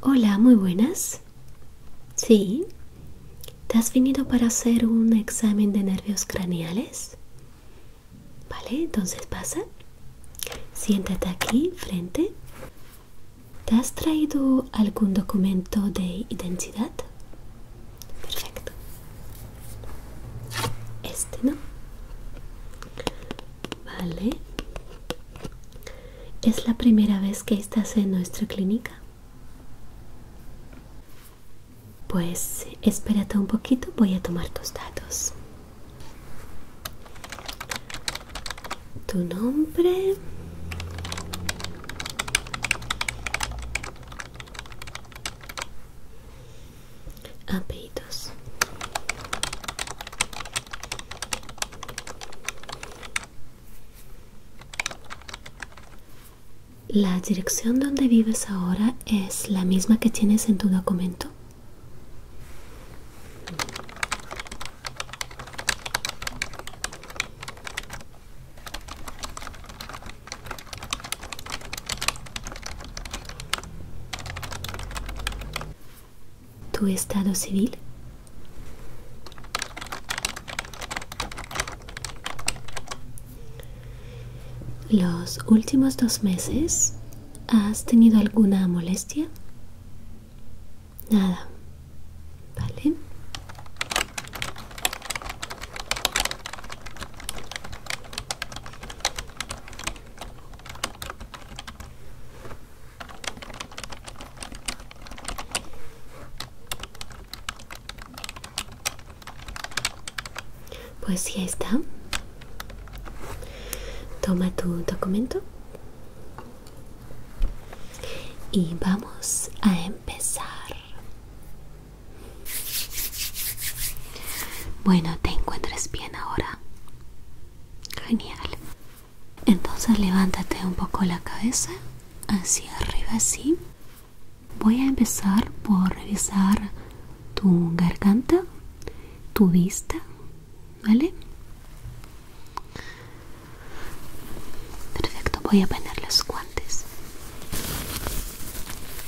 Hola, muy buenas. Sí. ¿Te has venido para hacer un examen de nervios craneales? Vale, entonces pasa. Siéntate aquí, frente. ¿Te has traído algún documento de identidad? perfecto este no vale es la primera vez que estás en nuestra clínica pues espérate un poquito voy a tomar tus datos tu nombre la dirección donde vives ahora es la misma que tienes en tu documento ¿Tu estado civil? ¿Los últimos dos meses has tenido alguna molestia? Nada. ¿Vale? Pues ya está. Toma tu documento y vamos a empezar. Bueno, ¿te encuentras bien ahora? Genial. Entonces levántate un poco la cabeza hacia arriba así. Voy a empezar por revisar tu garganta, tu vista, ¿vale? Perfecto, voy a poner los guantes.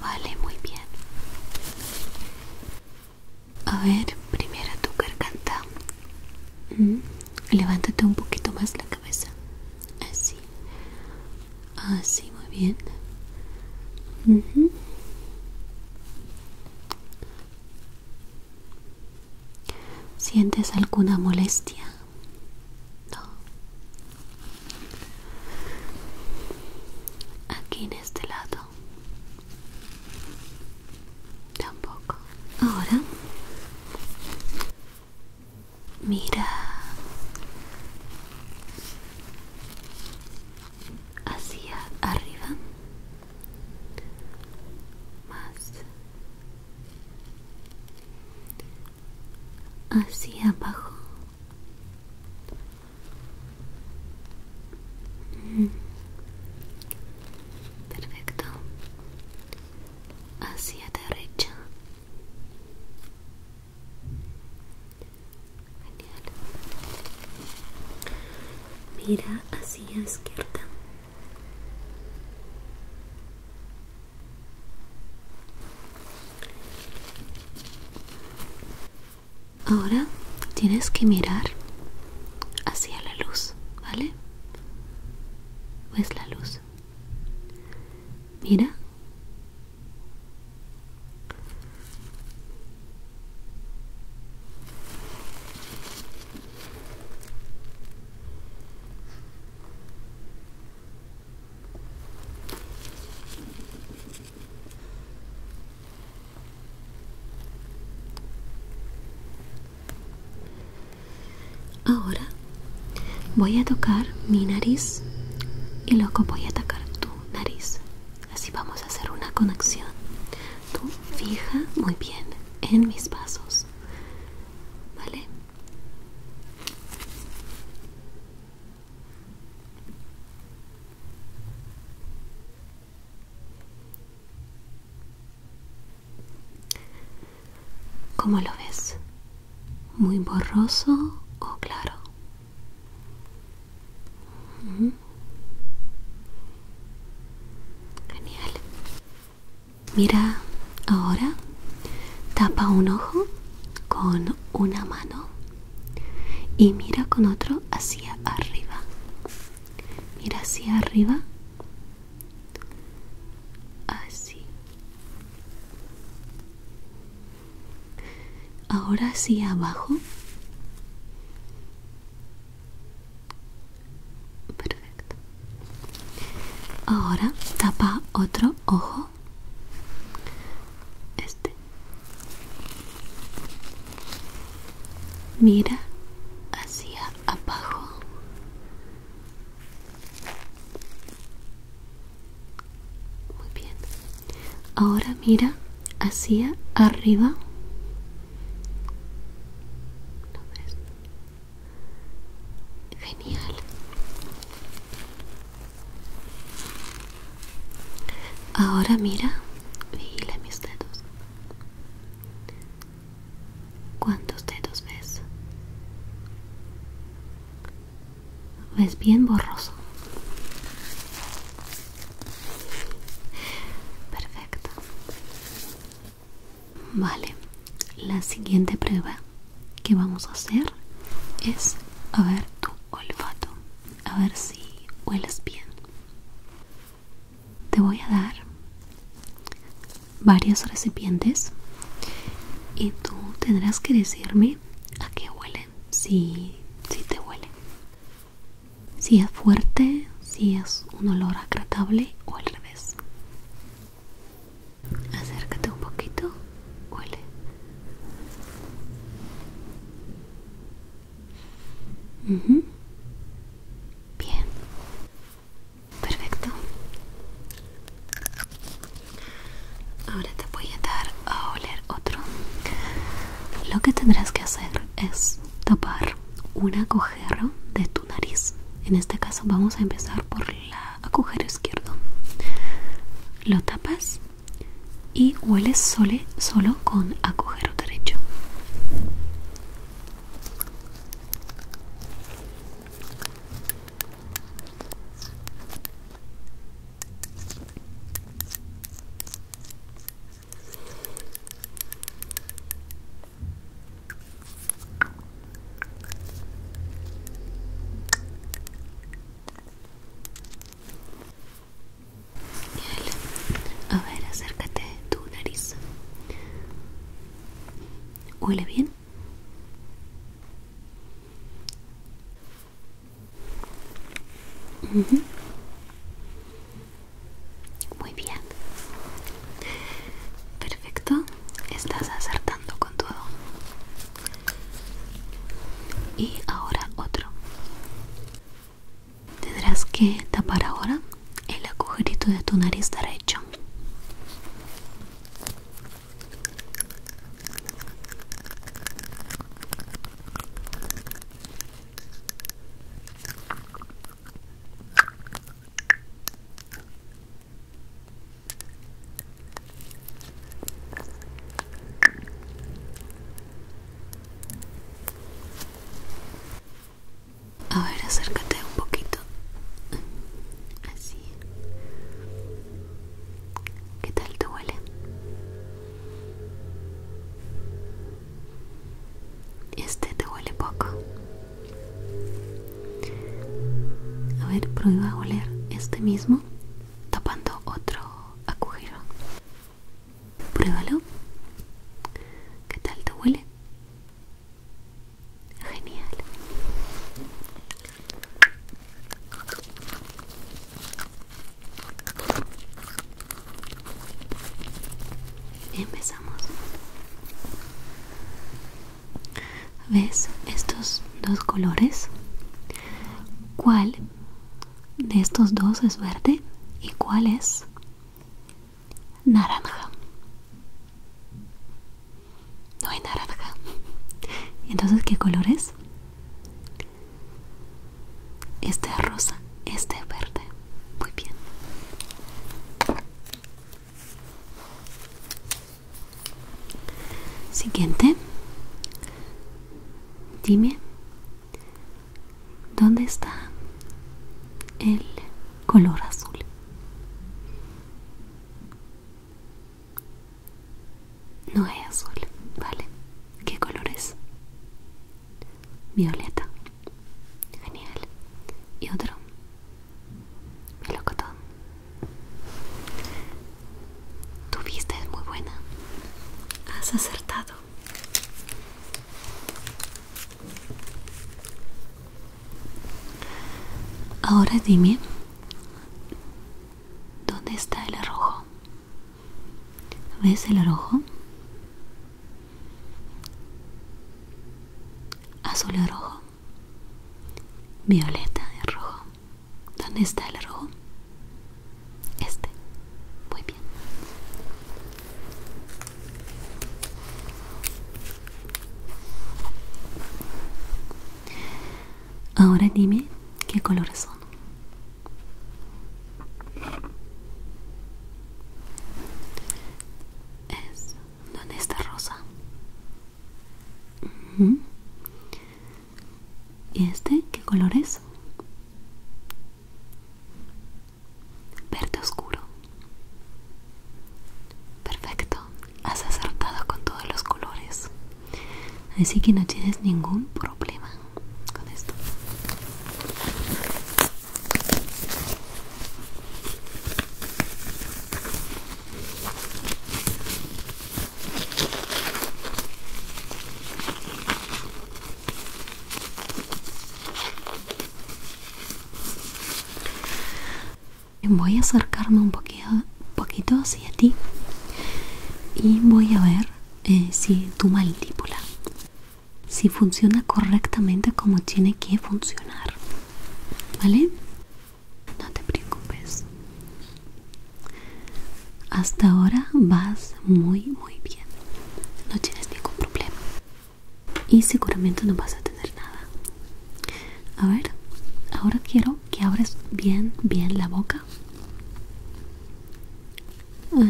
Vale, muy bien. A ver, primero tu garganta. Mm, levántate un poquito más la cabeza. Así. Así, muy bien. ¿Sientes alguna molestia? No. Aquí en este lado. Tampoco. Ahora. Mira. Hacia arriba. Más hacia abajo. Mm. Perfecto. Hacia derecha. Mira hacia izquierda. Ahora tienes que mirar hacia la luz, ¿vale? pues la luz? Mira. Ahora voy a tocar mi nariz y luego voy a tocar tu nariz. Así vamos a hacer una conexión. Tú fija muy bien en mis pasos vale ¿Cómo lo ves? ¿Muy borroso o claro? Genial. Mira ahora, tapa un ojo con una mano y mira con otro hacia arriba. Mira hacia arriba. Así. Ahora hacia abajo. Perfecto. Ahora tapa otro ojo. Este. Mira hacia abajo. Muy bien. Ahora mira hacia arriba. ¿Lo ves? Genial. Ahora mira, vigila mis dedos. ¿Cuántos dedos ves? Ves bien borroso. Perfecto. Vale, la siguiente prueba que vamos a hacer es a ver tu olfato, a ver si hueles bien. Te voy a dar varios recipientes y tú tendrás que decirme a qué huelen, si, si te huele, si es fuerte, si es un olor agradable o al revés. Acércate un poquito, huele. Bien, perfecto. Ahora te voy a dar a oler otro. Lo que tendrás que hacer es tapar una cojera de tu nariz. En este caso vamos a empezar por el agujero izquierdo lo tapas y hueles sole solo con agujero derecho a ver, acércate tu nariz. ¿Huele bien? Muy bien. Perfecto estás acertando con todo. Y ahora otro. Tendrás que tapar ahora el agujerito de tu nariz derecho. A ver, acércate un poquito. Así. ¿Qué tal te huele? Este te huele poco. A ver, prueba a oler este mismo tapando otro agujero. Pruébalo. ¿Qué tal te huele? Genial. Empezamos. ¿Ves estos dos colores? ¿Cuál de estos dos es verde y cuál es naranja? No hay naranja. Entonces, ¿qué colores? es? Este es rosa, este es verde. Muy bien. Siguiente. Dime, ¿dónde está el color azul? No es azul, ¿vale? ¿Qué color es? Violeta. Genial. ¿Y otro? Melocotón. Tu vista es muy buena. Has acertado. Ahora dime, ¿dónde está el arrojo? ¿Ves el arrojo? Azul y rojo. Violeta de rojo. ¿Dónde está el rojo? Este. Muy bien. Ahora dime qué colores son. Es ¿dónde está rosa. ¿Y este qué color es? Verde oscuro. Perfecto, has acertado con todos los colores. Así que no tienes ningún problema con esto. Voy a acercarme un poquito, poquito hacia ti y voy a ver eh, si tu mandíbula si funciona correctamente como tiene que funcionar. ¿Vale? no te preocupes hasta ahora vas muy muy bien no tienes ningún problema y seguramente no vas a tener nada a ver ahora quiero que abres bien bien la boca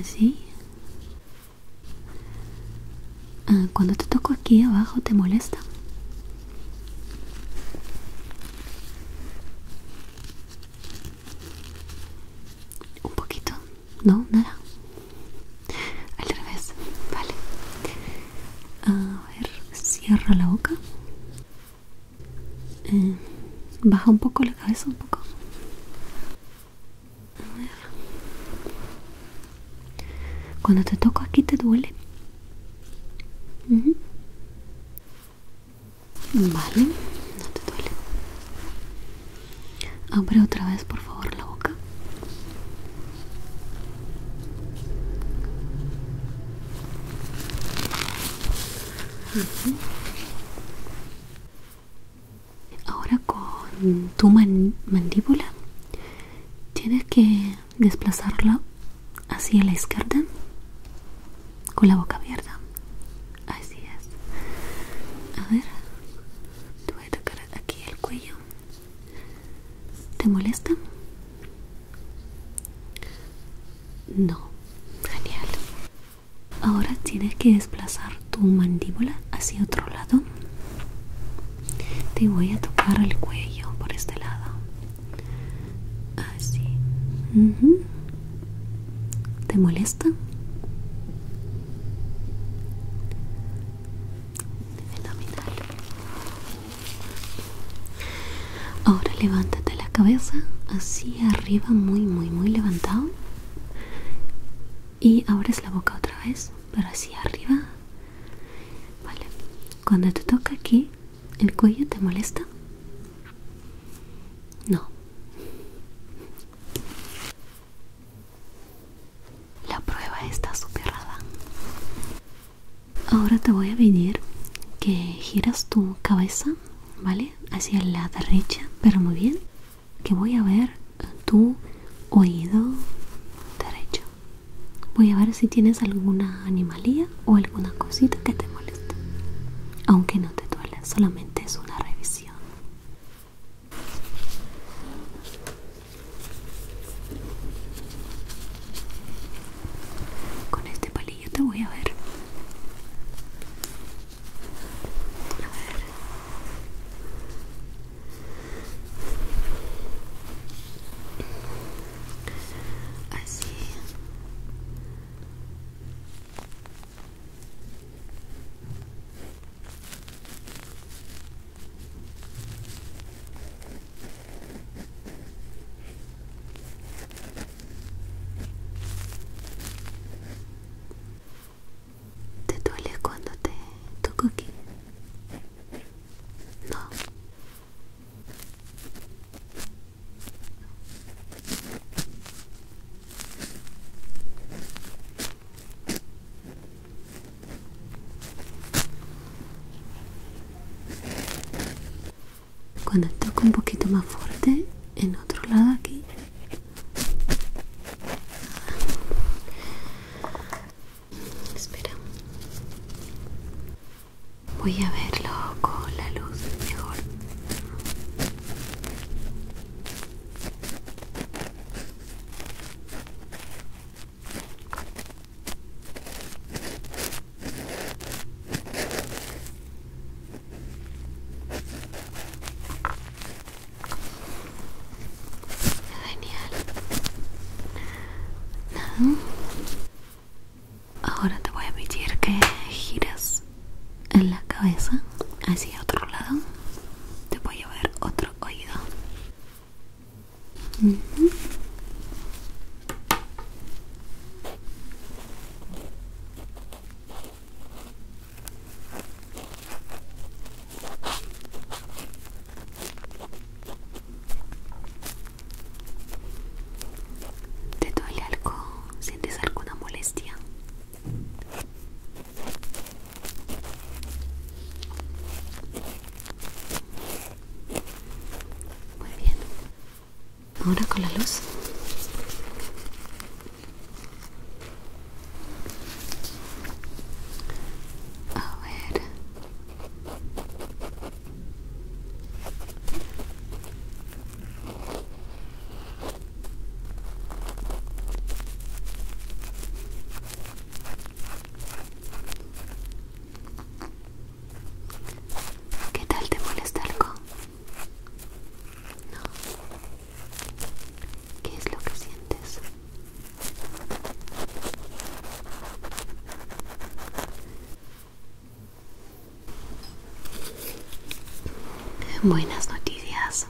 así ah, cuando te toco aquí abajo te molesta un poquito, no, nada. Al revés, vale. A ver, cierra la boca. Eh, baja un poco la cabeza, un poco. Cuando te toco aquí te duele. Vale, no te duele. Abre otra vez, por favor, la boca. Ahora con tu mandíbula tienes que desplazarlo hacia la izquierda con la boca abierta así es a ver te voy a tocar aquí el cuello te molesta no genial ahora tienes que desplazar tu mandíbula hacia otro lado te voy a tocar el cuello por este lado Así. Ah, ¿Te molesta? Ahora levántate la cabeza así arriba, muy, muy, muy levantado. Y abres la boca otra vez, pero así arriba. Vale. Cuando te toca aquí, ¿El cuello te molesta? No. La prueba está superada. Ahora te voy a pedir que giras tu cabeza, ¿vale? Hacia la derecha, pero muy bien. Que voy a ver tu oído derecho. Voy a ver si tienes alguna animalía o alguna cosita que te moleste. Aunque no te duele, solamente es una revisión. Con este palillo te voy a ver. A ver así ¿Te duele cuando te toco aquí? No. Cuando toco un poquito más fuerte en otro lado aquí. Espera. Voy a verlo con la luz mejor. Genial. Ahora te voy a pedir que giras en la cabeza hacia otro lado. Te voy a ver otro oído. ¿Te duele algo? ¿Sientes alguna molestia? Muy bien. Ahora con la luz. A ver, ¿Qué tal te molesta algo? No. ¿Qué es lo que sientes? Buenas noticias.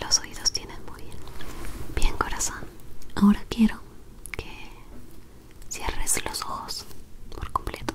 Los oídos tienen muy bien. Bien corazón. Ahora quiero que cierres los ojos por completo.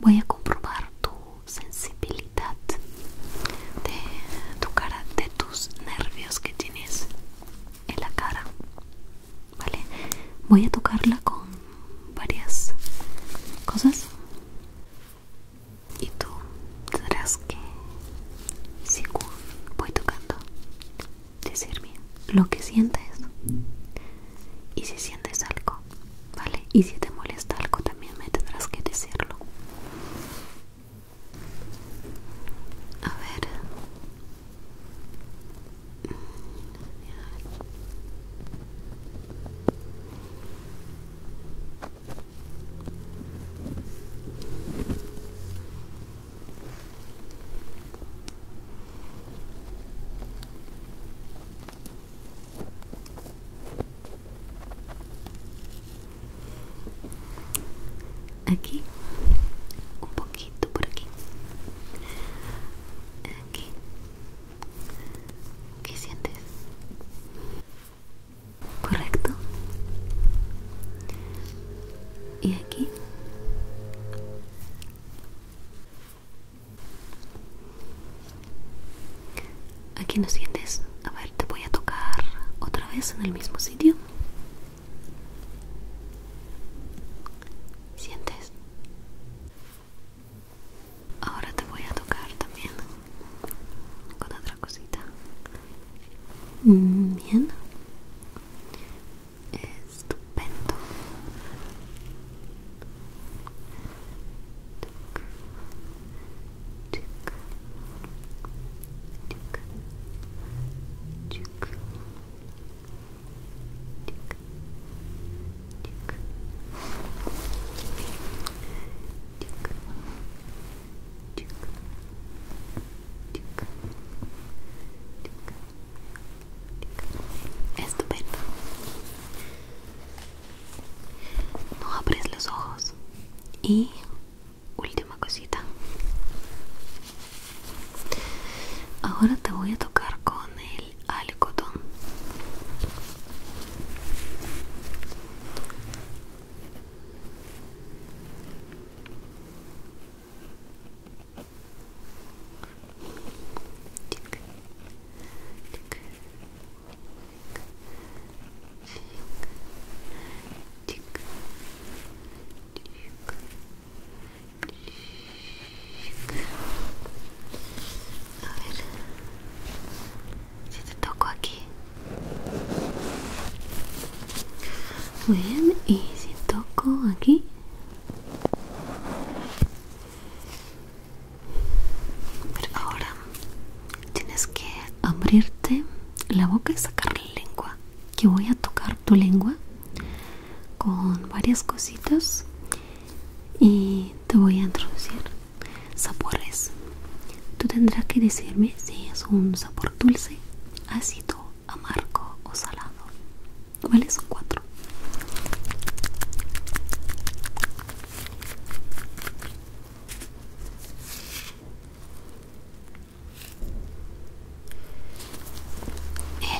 Voy a comprobar tu sensibilidad de tu cara, de tus nervios que tienes en la cara. ¿vale? Voy a tocarla con varias cosas y tú tendrás que, según voy tocando, decirme lo que sientes y si sientes algo, ¿vale? Y si te molesta algo también me tendrás que decirlo. A ver, Aquí, un poquito por aquí aquí ¿Qué sientes? ¿Correcto? ¿Y aquí? ¿Aquí no sientes? A ver, te voy a tocar otra vez en el mismo sitio. ¿Sientes? Ahora te voy a tocar también con otra cosita. Mm, bien. Estupendo. Estupendo. No abres los ojos. Y última cosita. Ahora te voy a tocar con el algodón. A ver si te toco aquí. Muy bien, y si toco aquí. Pero ahora tienes que abrirte la boca y sacar la lengua. Que voy a tocar tu lengua con varias cositas y te voy a introducir sabores tú tendrás que decirme si es un sabor dulce ácido amargo o salado ¿Cuáles son cuatro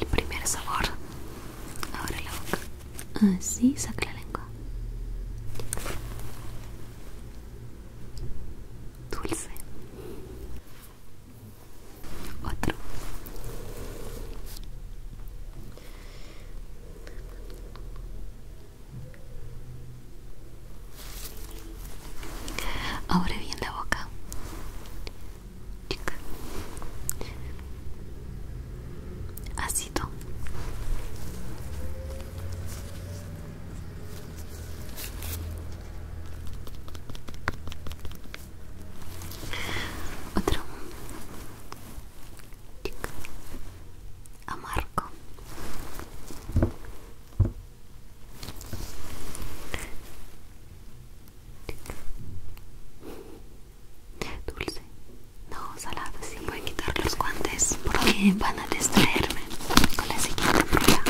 el primer sabor. Abre la boca. Así, saca la lengua. Dulce. Otro. Abre bien la boca así ácido otro Dulce. No, salada. sí. Voy a quitar los guantes porque van a distraerme con la siguiente prueba.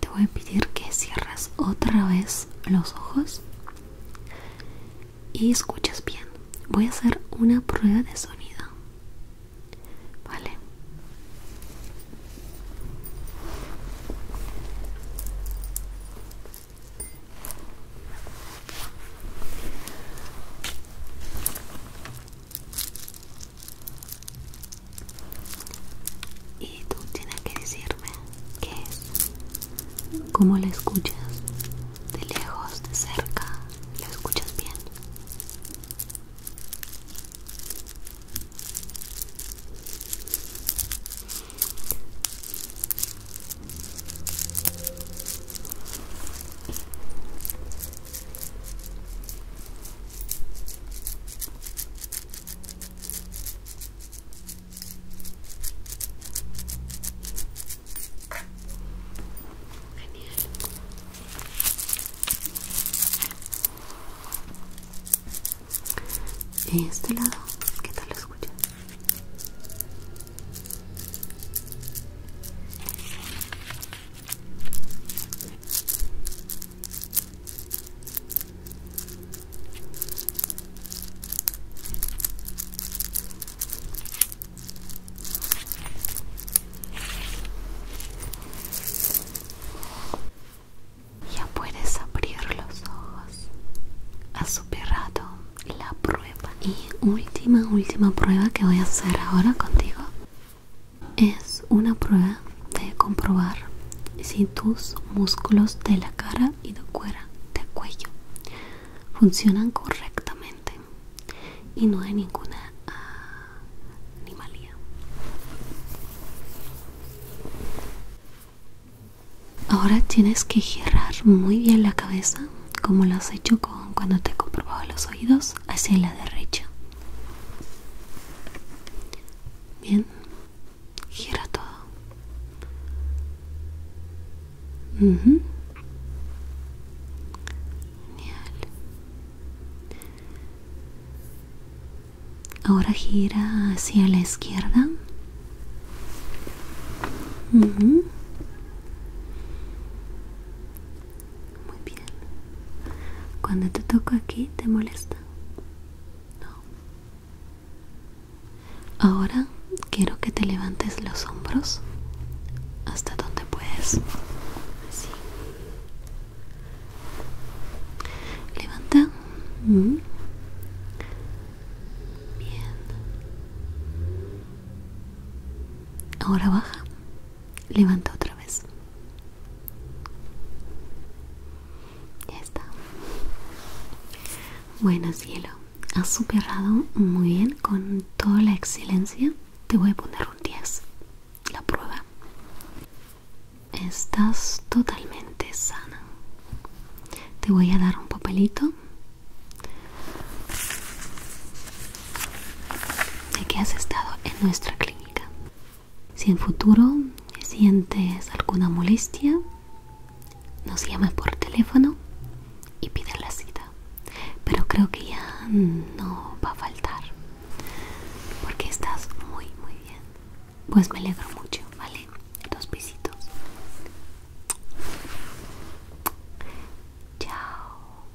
Te voy a pedir que cierras otra vez los ojos y escuchas bien. Voy a hacer una prueba de sonido. Vale. Y tú tienes que decirme qué es, cómo la escuchas, de lejos, de cerca, la escuchas bien. Este lado, ¿qué tal lo escuchas? Ya puedes abrir los ojos. Has superado la prueba. Y última, última prueba que voy a hacer ahora contigo es una prueba de comprobar si tus músculos de la cara y de cuera, de cuello funcionan correctamente y no hay ninguna ah, animalía. Ahora tienes que girar muy bien la cabeza como lo has hecho cuando te he comprobado los oídos hacia la derecha. Bien, gira todo. Ahora gira hacia la izquierda. Muy bien. Cuando te toco aquí, ¿te molesta? No. Ahora quiero que te levantes los hombros hasta donde puedes. Levanta. Mm. Bien. Ahora baja. Levanta otra vez. Ya está. Bueno, cielo, has superado muy bien con toda la excelencia. Te voy a poner un 10. La prueba. Estás totalmente sana. Te voy a dar un papelito. de que has estado en nuestra clínica. Si en futuro sientes alguna molestia, nos llame por teléfono y pide la cita. Pero creo que ya no va a faltar. Porque estás muy, muy bien. Pues me alegro mucho, ¿vale? Dos besitos. Chao.